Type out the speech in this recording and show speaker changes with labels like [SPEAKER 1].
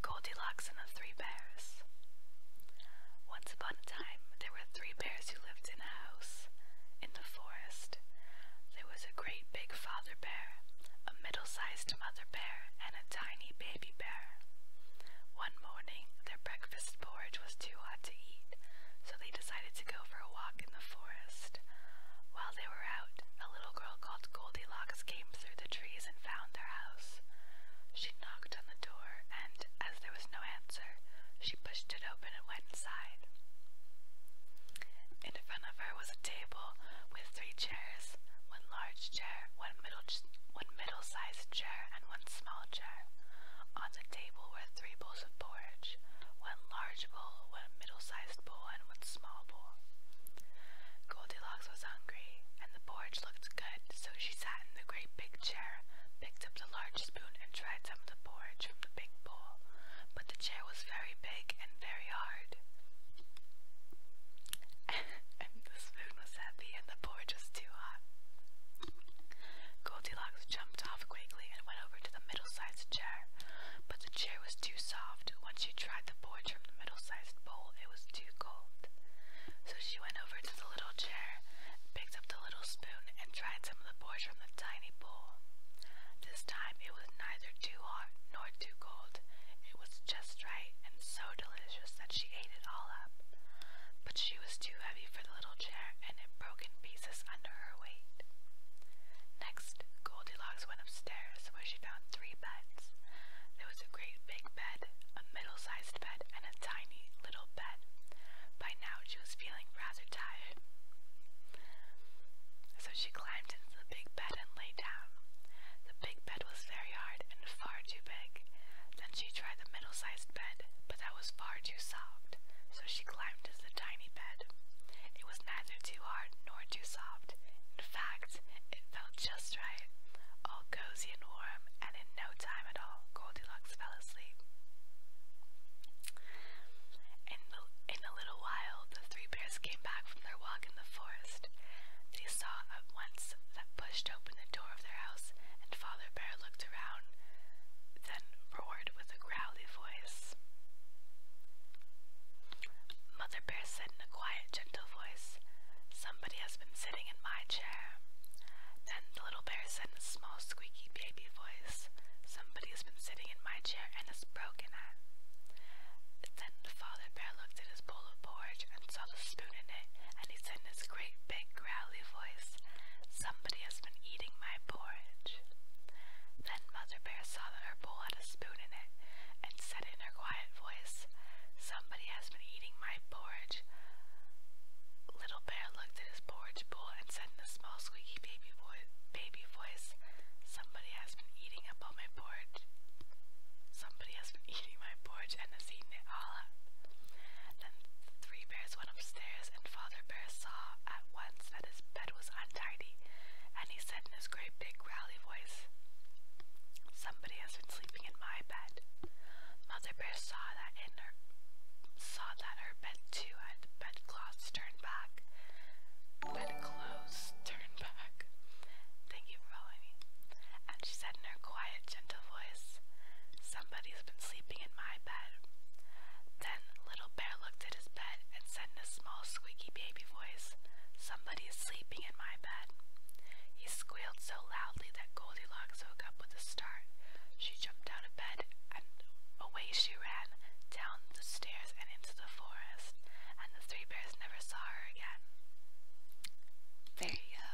[SPEAKER 1] Goldilocks and the Three Bears. Once upon a time, there were three bears who lived in a house in the forest. There was a great big father bear, a middle sized mother bear, and a tiny baby bear. One morning, their breakfast porridge was too hot to eat, so they decided to go for a walk in the forest. While they were out, a little girl called Goldilocks came through the trees and found their house. She knocked on the door, and as there was no answer, she pushed it open and went inside. In front of her was a table with three chairs, one large chair, one middle one middle-sized chair, and one small chair. On the table were three bowls of porridge, one large bowl, one middle-sized bowl, and one small bowl. Goldilocks was hungry, and the porridge looked good, so she sat in the great big chair, picked up the large spoon, and tried some of the porridge from the big bowl. But the chair was very big and very hard. and the spoon was heavy, and the porridge was too hot. Goldilocks jumped off quickly quickly and went over to the middle-sized chair, but the chair was too soft. Once she tried the porridge from the middle-sized bowl, it was too cold. So she went over to the little chair, picked up the little spoon, and tried some of the porridge from the tiny bowl. This time it was neither too hot nor too cold. It was just right and so delicious that she ate it all up. But she was too heavy for the little chair, and it broke in pieces under her weight. Next, Goldilocks went upstairs where she found three beds. There was a great big bed, a middle-sized bed, and a tiny little bed. By now she was feeling rather tired. So she climbed into the big bed and lay down. The big bed was very hard and far too big. Then she tried the middle-sized bed, but that was far too soft. So she climbed soft the tiny bed. It was neither too hard nor too soft. In fact, it felt just right, all cozy and warm, and in no time at all, Goldilocks fell asleep. In, in a little while, the three bears came back from their walk in the forest. They saw at once that pushed open the door of their house, and Father Bear looked around, then roared with a growly voice. Mother Bear said in a quiet, gentle voice, Somebody has been sitting in my chair. Then the little bear said in a small, squeaky baby voice, Somebody has been sitting in my chair and has broken Then the father bear looked at his bowl of porridge and saw the spoon in it, and he said in his great big growly voice, Somebody has been eating my porridge. Then Mother Bear saw that her bowl had a spoon in it and said in her quiet voice, Somebody has been eating my porridge. Little Bear looked at his porridge bowl and said in a small squeaky baby, vo baby voice, Somebody has been eating up all my porridge. Somebody has been eating my porridge and has eaten it all up. Then three bears went upstairs and Father Bear saw at once that his bed was untidy, and he said in his great big growly voice, Somebody has been sleeping in my bed. Mother Bear saw that in her saw that her bed too had bedclothes turned back. Bedclothes turned back. Thank you for following me. And she said in her quiet, gentle voice, Somebody's had been sleeping in my bed. Then Little Bear looked at his bed and said in a small, squeaky baby voice, Somebody is sleeping in my bed. He squealed so loudly that Goldilocks woke up with a start. She jumped out of bed and away she ran, down the stairs and into the forest, and the three bears never saw her again. There you go.